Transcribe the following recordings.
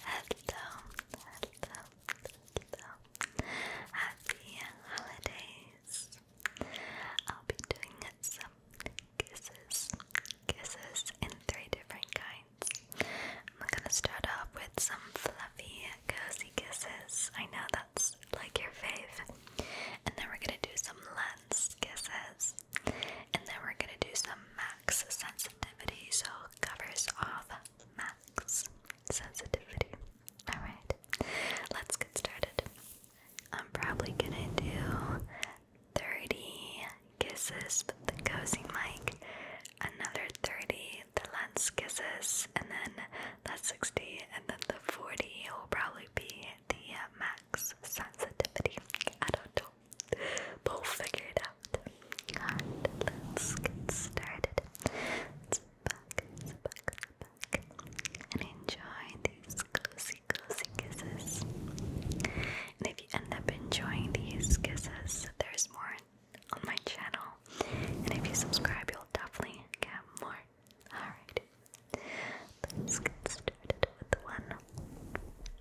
Hello, hello, hello. Happy holidays. I'll be doing some kisses, kisses in three different kinds. I'm gonna start off with some fluffy, cozy kisses. I know that's like your fave. And then we're gonna do some less kisses. And then we're gonna do some matte max sensitivity, so covers off max sensitivity. Alright, let's get started. I'm probably gonna do 30 kisses with the cozy mic, another 30 the lens kisses, and then that's 60, and then the 40 will probably be the uh, max sensitivity. I don't know. We'll figure it out. let's get started. let back, let back, let back. And enjoy these cozy, cozy kisses. And if you end up enjoying these kisses, there's more on my channel. And if you subscribe, you'll definitely get more. Alright. Let's get started with one.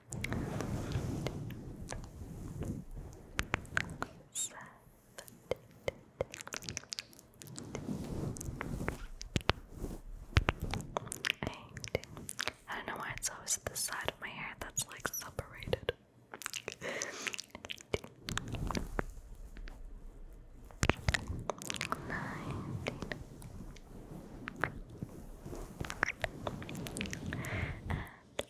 I don't know why it's always at the side of my hair that's like separated.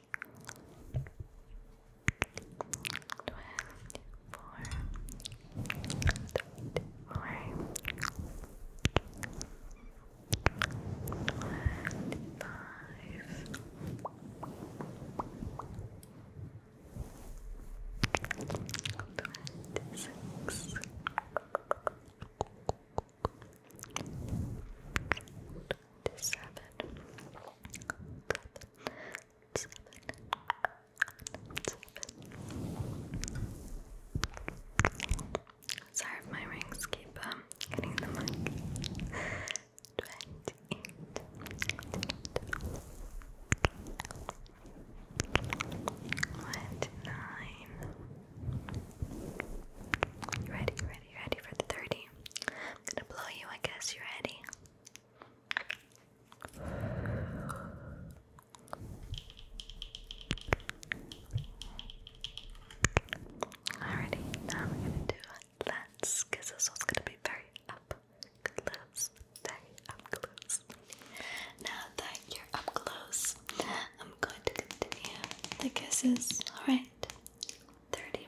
Twenty-four. Twenty-four. Twenty-five. Twenty-six. Twenty-seven seven, seven, seven. Sorry if my rings keep um, getting the mic. Twenty-eight. 28. Ready, ready, ready, ready for the 30. I'm gonna blow you, I guess. You ready? Alrighty, now we're gonna do let's, because gonna be very up close, very up close. Now that you're up close, I'm going to continue the kisses. Alright, 31,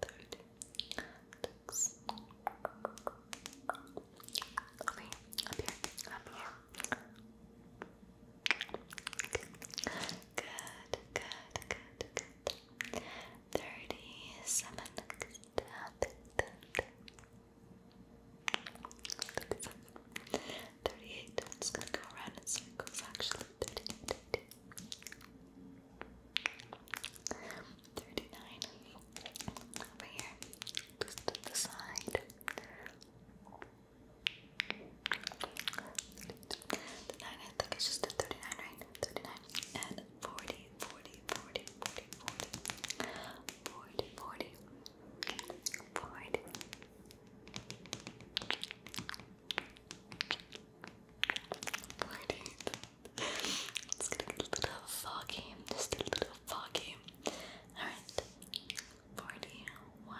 third Tux. up here, up here. Good, good, good, good. Thirty-seven. Thirty-eight. I'm just gonna go around in circles. Actually, thirty-eight. 39 over here, just to the side. The I think it's just the 39, right? 39 and 40, let a little bit of foggy, just a little bit of foggy. Alright, 41.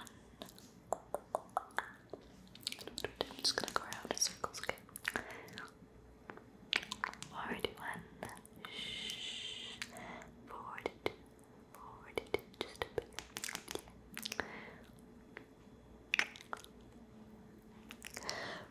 just gonna go around in circles, okay? 41. Shh. 42. 42. Just a bit.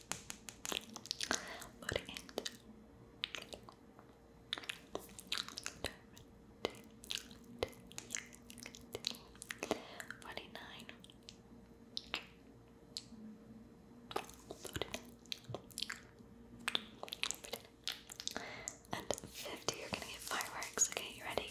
Put And fifty, you're gonna get fireworks. Okay, you ready?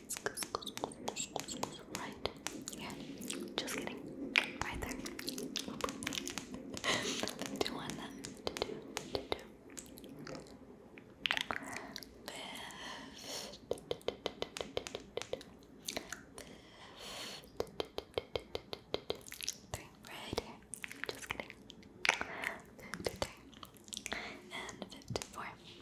Right. Yeah. Just kidding. Right there. Nothing to Three. Right Just kidding. Fifty-three. And fifty-four. 53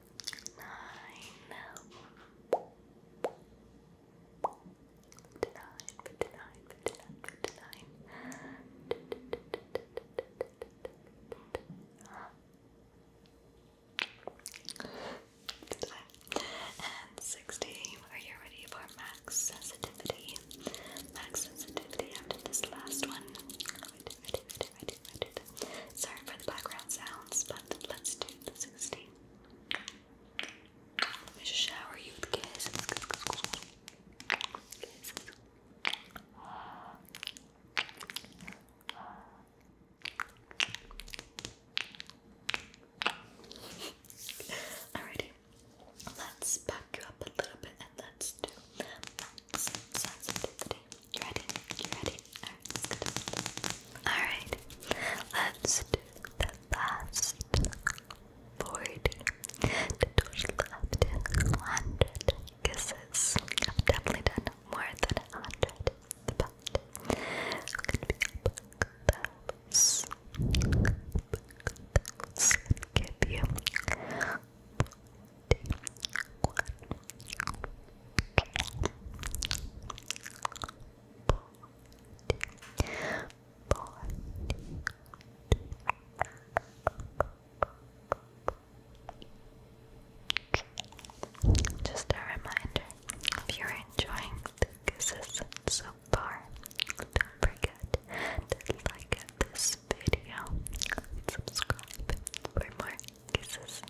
nine. And 60. Are you ready for max sensitivity? Max sensitivity after this last one. I do, I do. Sorry for the background sounds, but let's do the 16. Let me shower you with kisses. Alrighty, let's back you up a little bit and let's do sensitivity. You ready? You ready? Alright, let's do the last 40 to total up to 100 kisses. I've definitely done more than 100, but it could be those. those. Give you 41, 100, just a reminder if you enjoying kisses so far, don't forget to like this video subscribe for more kisses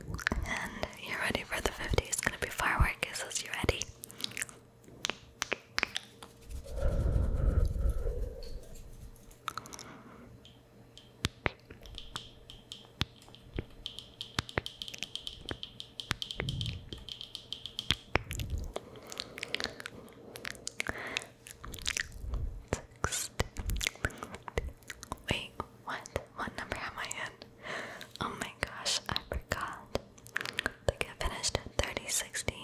And you're ready for the 50s. It's gonna be fireworks. kisses. You ready? Wait, what? What number am I in? Oh my gosh, I forgot. I think I finished at 3060.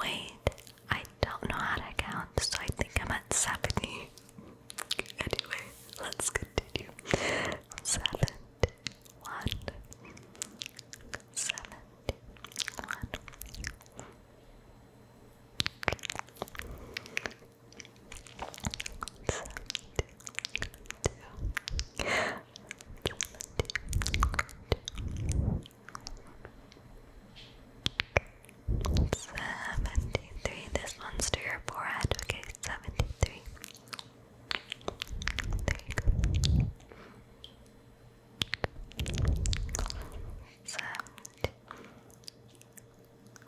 Wait, I don't know how to count, so I think I'm at 70. Anyway, let's continue. 71. 71. Seventy-three. This one's to your forehead. Okay, seventy-three.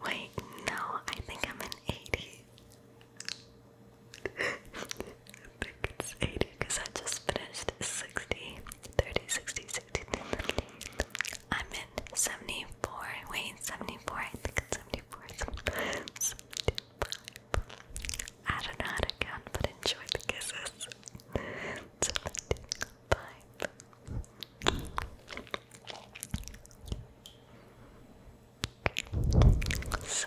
Wait, no, I think I'm an 80. I think it's 80 because I just finished 60, 30, 60, 60. I'm in 74. Wait, 74. I think it's 74. 75. I don't know how to count, but enjoy the kisses. 75 vibe. So, thanks.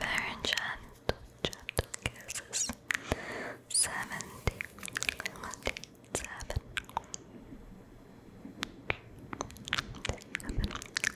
Very gentle, kisses. Seventy, seventy,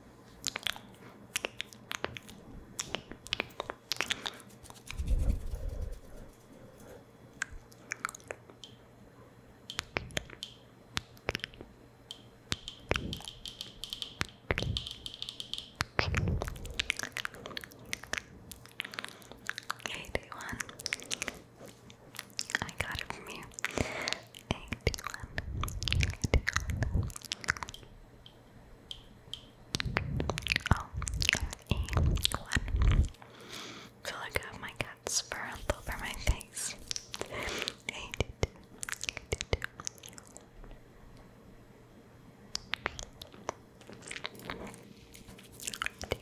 Eighty-one, I got it from you. Oh, feel like I have my cat's fur over my face. Hey, do, do. Hey,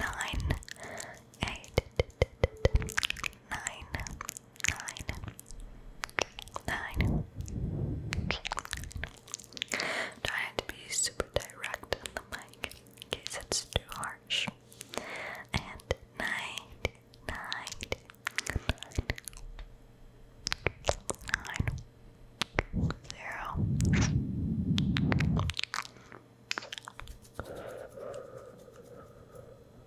Nine, eight, nine, nine, nine. Trying to be super direct on the mic in case it's too harsh. And nine,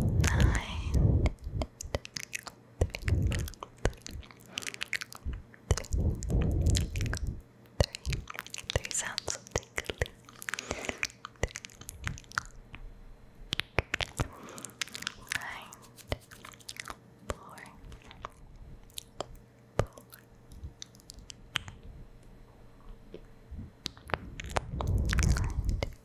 nine, three, three sounds of tickling. Nine, four,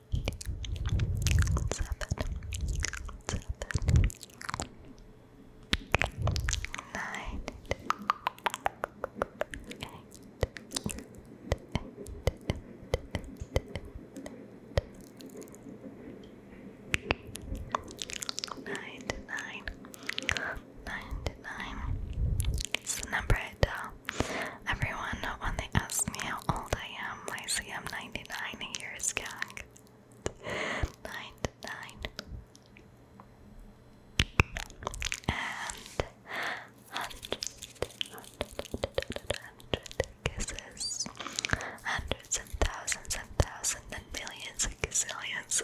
nine, nine, nine, nine. It's the number at uh, Everyone, when they ask me how old I am, I say I'm 99 years young. 99. And kisses. Hundreds and thousands and thousands and millions of kisses.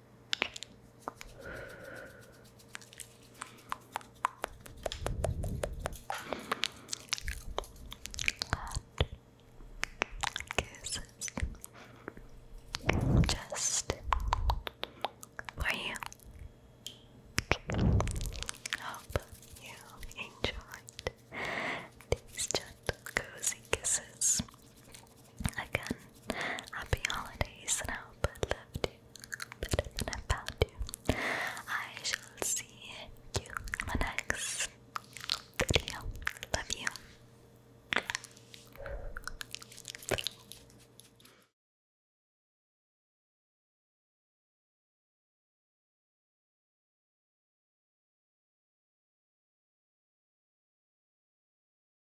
kisses just for you. Hope you enjoyed these gentle cozy kisses. Again, happy holidays, and I hope I loved you better than I found you. I shall see you in my next video. Love you.